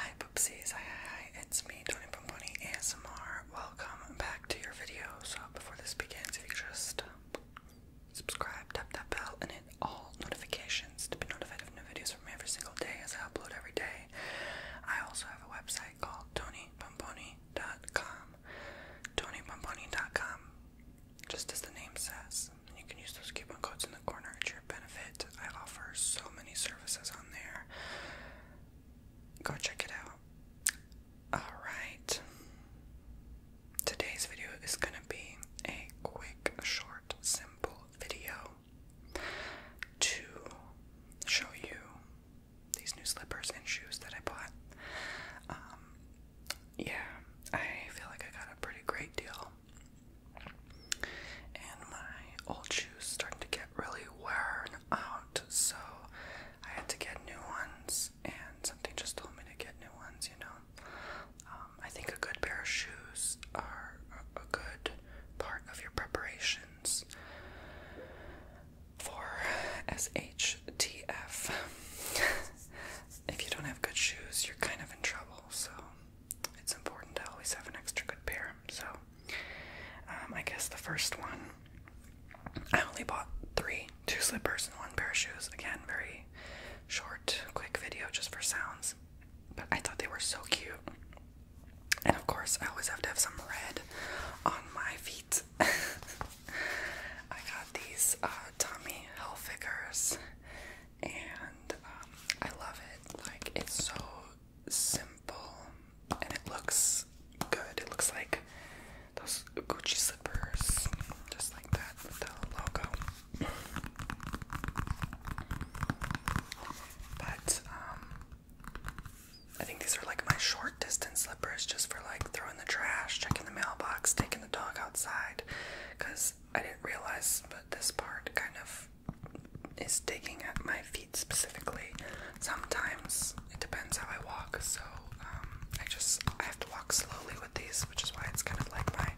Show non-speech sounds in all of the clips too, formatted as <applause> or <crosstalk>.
Hi poopsies, hi hi hi, it's me, Tony Pomponi ASMR. Welcome back to your video. So before this begins, if you just subscribe, tap that bell, and hit all notifications to be notified of new videos from me every single day as I upload every day. I also have a website called TonyPomponi.com. TonyPomponi.com, just as the name says. You can use those coupon codes in the corner at your benefit. I offer so many services on there. Go check it out. Alright. Today's video is going to be a quick, short, simple video to show you these new slippers and shoes that I bought. Um, yeah, I feel like I got a pretty great deal and my old shoes started to get really worn out, so I had to get new ones. And something just told me to get new ones, you know. Um, I think a good pair of shoes are a good part of your preparations for SHTF. <laughs> if you don't have good shoes, you're kind of in trouble, so it's important to always have an extra good pair. So, um, I guess the first one, I only bought three two slippers and one pair of shoes. Again, very short, quick video just for sounds. But I thought they were so cute. And of course, I always have to have some red on my feet. <laughs> I got these uh, Tommy Hilfigers and um, I love it. Like it's so simple, and it looks good. It looks like those Gucci slippers, just like that with the logo. but um, I think these are like my short distance slippers, just for like throwing the trash, checking the mailbox, taking the dog outside, because I didn't realize, but this part kind of is digging at my feet specifically. Sometimes it depends how I walk, so um, I just I have to walk slowly with these, which is why it's kind of like my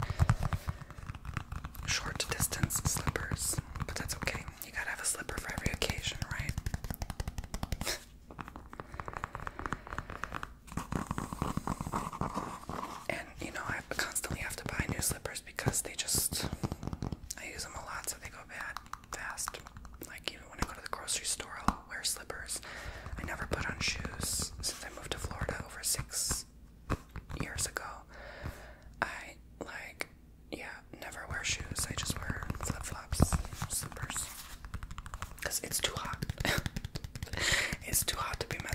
short distance slippers. But that's okay. You gotta have a slipper for every occasion, right? <laughs> And you know, I constantly have to buy new slippers because they just I use them a lot so they go bad fast. Like even when I go to the grocery store I'll wear slippers. I never put on shoes since I moved to Florida over six years ago. I like yeah, never wear shoes. I just wear flip flops, slippers. Because it's too hot. <laughs> It's too hot to be met.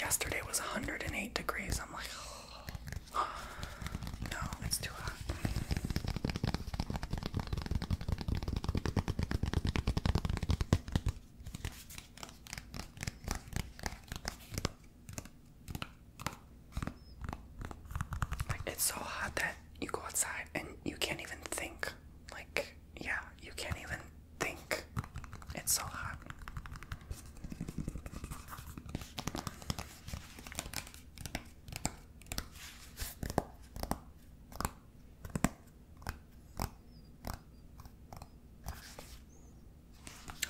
yesterday was 108 degrees. I'm like, oh, no, it's too hot. Like it's so hot that you go outside and you can't even think. Like, yeah, you can't even think it's so hot.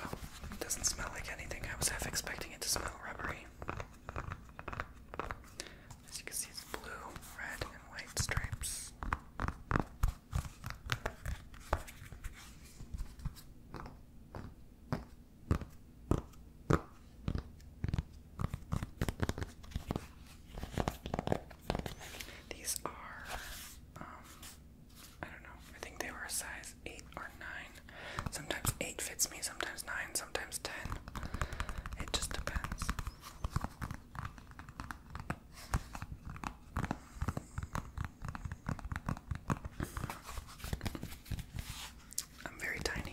Oh, it doesn't smell like anything. I was half expecting it to smell rubbery. As you can see, it's blue, red, and white stripes. These are, um, I don't know, I think they were size 8 or 9. Sometimes 8 fits me, sometimes 9, sometimes 10. It just depends. I'm very tiny.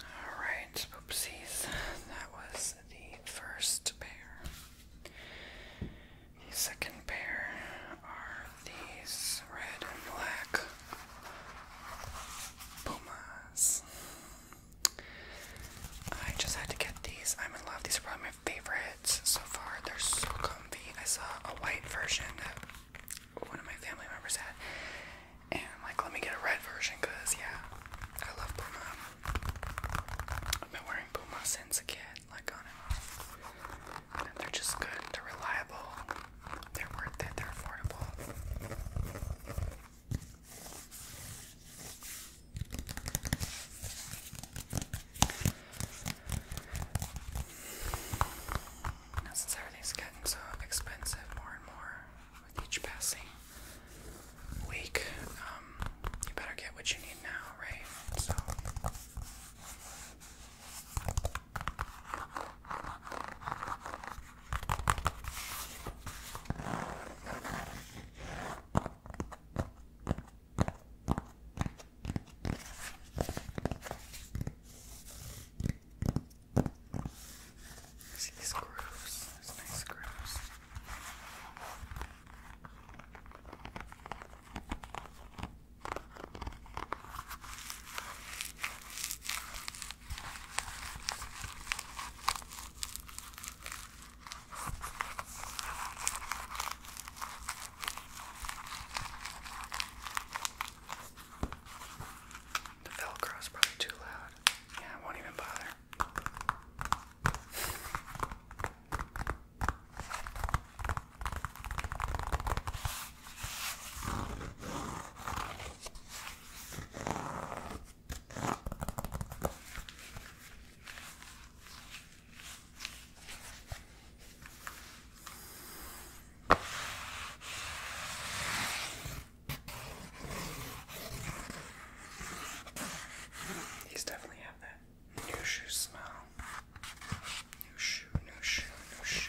Alright, oopsies. That was the first pair. The second pair are these red and black Pumas. I just had to get these. I'm in love. These are probably my favorites so far. They're so comfy. I saw a white version at one of my family members had, and like, let me get a red version because yeah, I love Puma. I've been wearing Puma since a kid, like on and they're just good. They're reliable. They're worth it. They're affordable. since everything's getting so expensive, more and more, with each passing week. Um, you better get what you need now, right? So. See these grooves, these nice grooves. The Velcro is probably too loud. Yeah, I won't even bother. He's definitely have that new shoe smell. New shoe, new shoe, new shoe.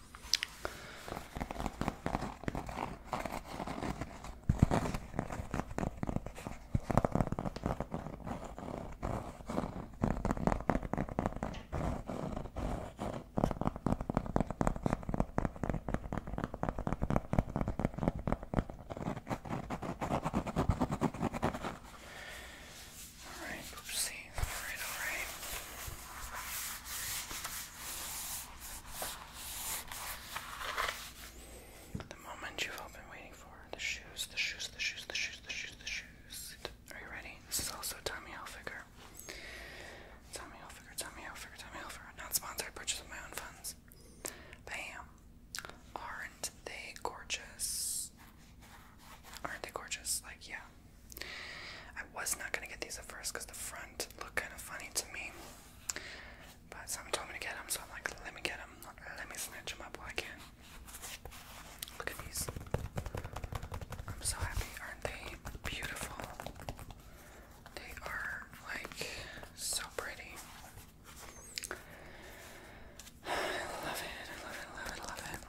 All right, oopsie. The moment you've all been waiting for. The shoes, the shoes, the shoes, the shoes, the shoes, the shoes. Are you ready? This is also Tommy Hilfiger. Tommy Hilfiger, Tommy Hilfiger, Tommy Hilfiger. Not sponsored, purchase with my own funds. Bam. Aren't they gorgeous? Aren't they gorgeous? Like, yeah, I was not gonna get these at first because the front looked kind of funny to me. But someone told me to get them, so I'm like, let me get them. Let me snatch them up while I can. Look at these. I'm so happy. Aren't they beautiful? They are like so pretty. <sighs> I love it. I love it. I love it. I love it.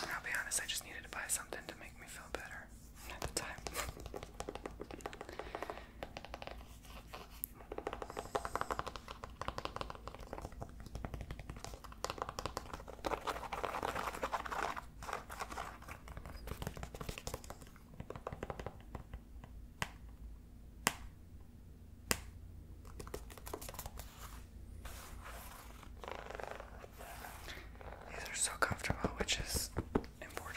I'll be honest, I just needed to buy something to make me feel better at the time. These are so comfortable, which is important.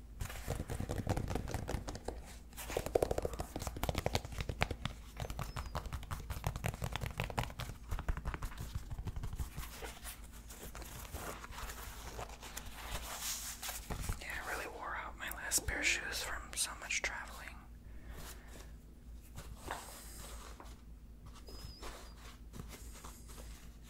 Yeah, I really wore out my last pair shoes from so much traveling.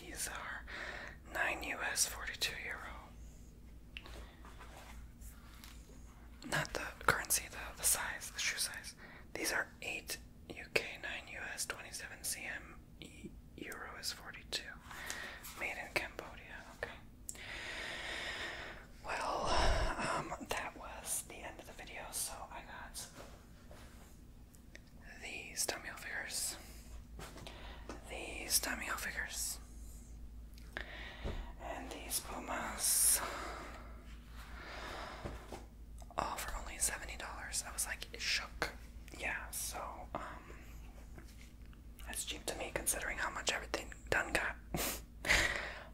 These are 9 US 42 euro. Not the currency, the, the size, the shoe size. These are 8 UK, 9 US, 27 CM, euro is 42. Made in Cambodia, okay. Well, um, that was the end of the video, so I got these Tommy figures, these Tommy figures, and these pomas all for only seventy dollars. I was like shook. Yeah, so um, that's cheap to me considering how much everything done got. <laughs>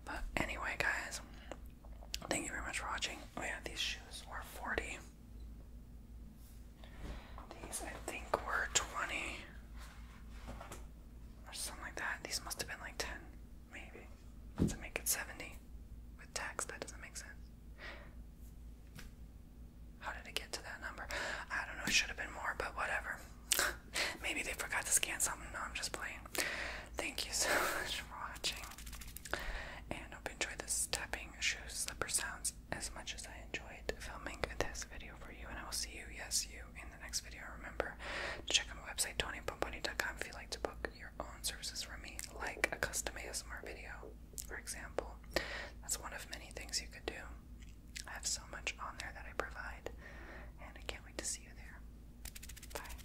but anyway, guys, Thank you very much for watching. Oh yeah, these shoes were 40. These I think were 20 or something like that. These must have been like 10, maybe. To make it 70 with tax, that doesn't make sense. How did it get to that number? I don't know, it should have been more, but whatever. <laughs> Maybe they forgot to scan something. No, I'm just playing. Thank you so <laughs> much for watching. And hope you enjoy this tapping shoes slipper sounds as much as I enjoyed filming this video for you. And I will see you, yes, you, in the next video. Remember to check out my website, tonypomponi.com, if you like to book your own services from me, like a custom ASMR video, for example. That's one of many things you could do. I have so much on there that I provide, and I can't wait to see you there. Bye.